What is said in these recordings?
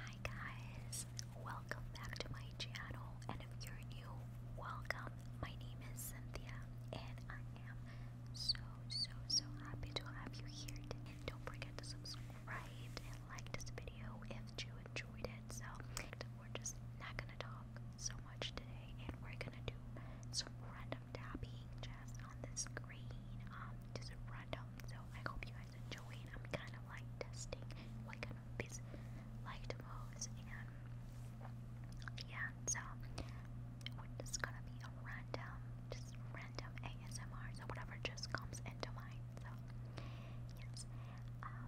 Hi guys, welcome back to my channel and if you're new, welcome. My name is Cynthia and I am so so so happy to have you here And don't forget to subscribe and like this video if you enjoyed it. So we're just not gonna talk so much today and we're gonna do some random tapping just on the screen. Um just random. So I hope you enjoying. I'm kind of like testing what kind of beats and yeah, so we're just gonna be a random, just random ASMR, so whatever just comes into mind. So yes, um,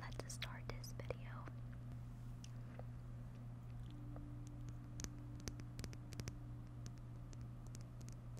let's start this video.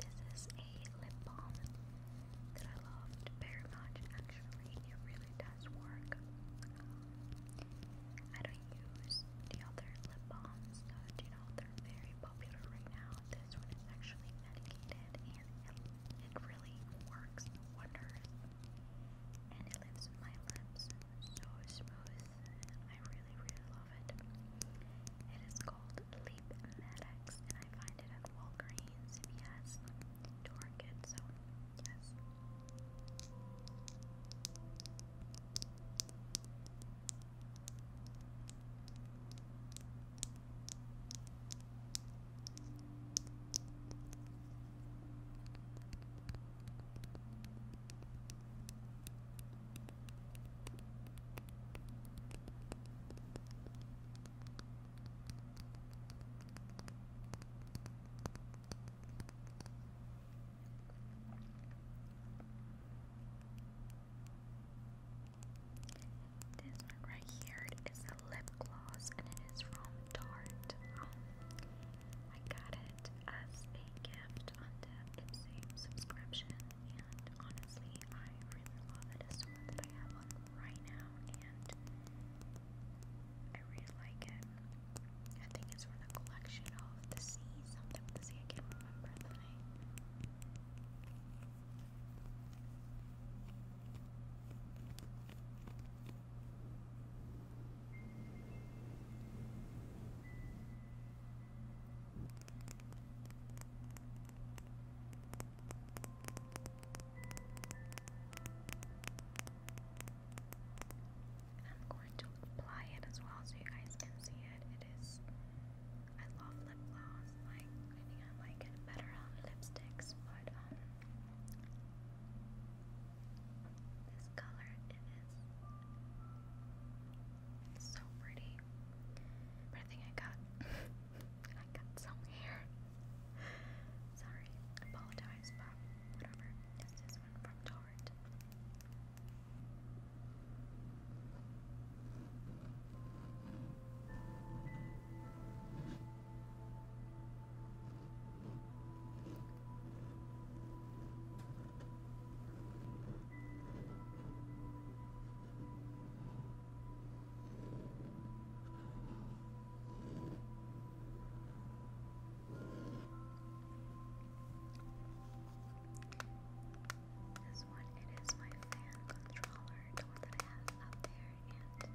This is a lip balm that I loved very much actually. It really does work. Um, I don't use the other lip balms that you know they're very popular right now. This one actually medicated and it really works wonders. And it leaves my lips so smooth I really, really love it. It is called Leap Maddox, and I find it at Walgreens, yes, Target, so yes. I this one right here is a lip gloss and it is from Tarte. Um, I got it it as a gift on the Ipsy subscription, and honestly, I really love the one that I have on right now, and I really like it. I think it's from the collection of the sea, something with the sea, I can't remember the name. I'm going to apply it as well so you guys can see it. It is. I love lip gloss. Like I I like it better on lipsticks, but um, this color it is so pretty. I think I got I got some hair. Sorry, apologize, but whatever. It's this one from Tarte. This one, it is my fan controller, that I have up there yet. All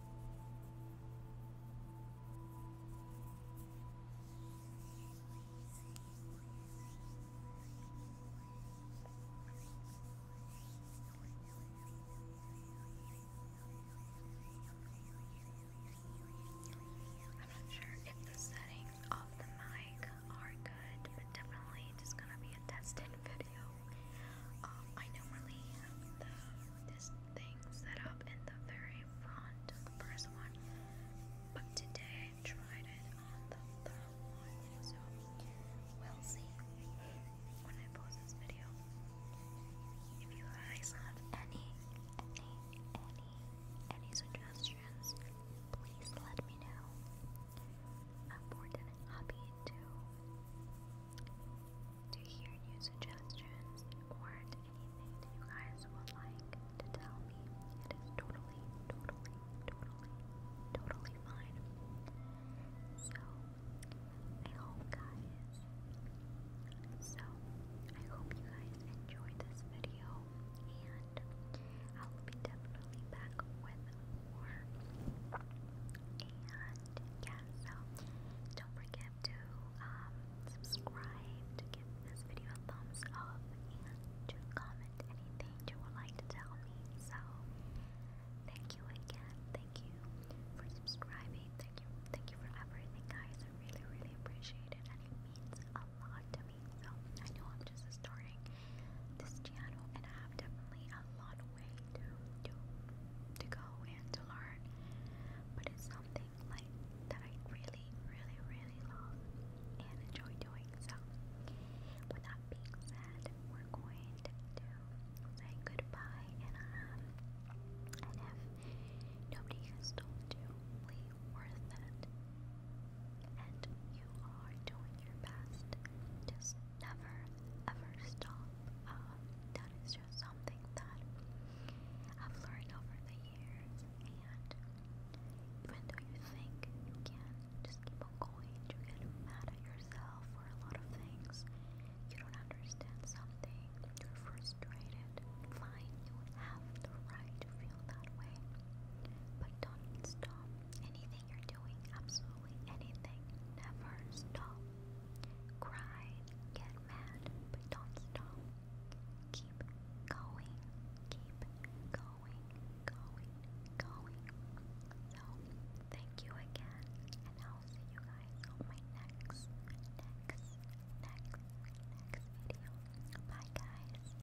I'm not sure if the settings of the mic are good, definitely just gonna be a tested video. Um, I normally have this thing set up in the very front, the first one, but today I tried it on the third one, we'll see when I post this video. If you guys have any, any, any, any suggestions, please let me know. I'm more than happy to to hear new suggestions or anything that you guys would like to tell me. It is totally, totally, totally, totally fine. So, I hope guys, so, I hope you guys enjoyed this video and I will be definitely back with and yeah, so don't forget to um, subscribe, to give this video a thumbs up, and to comment anything you would like to tell me. So thank you again. Thank you for subscribing. Thank you, thank you for everything, guys. I really, really appreciate it, and it means a lot to me. So I know I'm just starting this channel and I have definitely a lot of way to to to go and to learn. But it's something like that I really, really, really love and enjoy doing. So with that being said, we're going to say goodbye um, and if nobody has told you, worth it and you are doing your best. Just never ever stop. Um, that is just something that I've learned over the years. And even though you think you can just keep going, you get mad at yourself for a lot of things. You don't understand something. You're frustrated. Fine, you have the right to feel that way. But don't stop Anything you're doing, absolutely anything, never stop. Cry, get mad, but don't stop. Keep going, keep going, going, going. So, thank you again, and I'll see you guys on my next, next, next, next video. Bye, guys.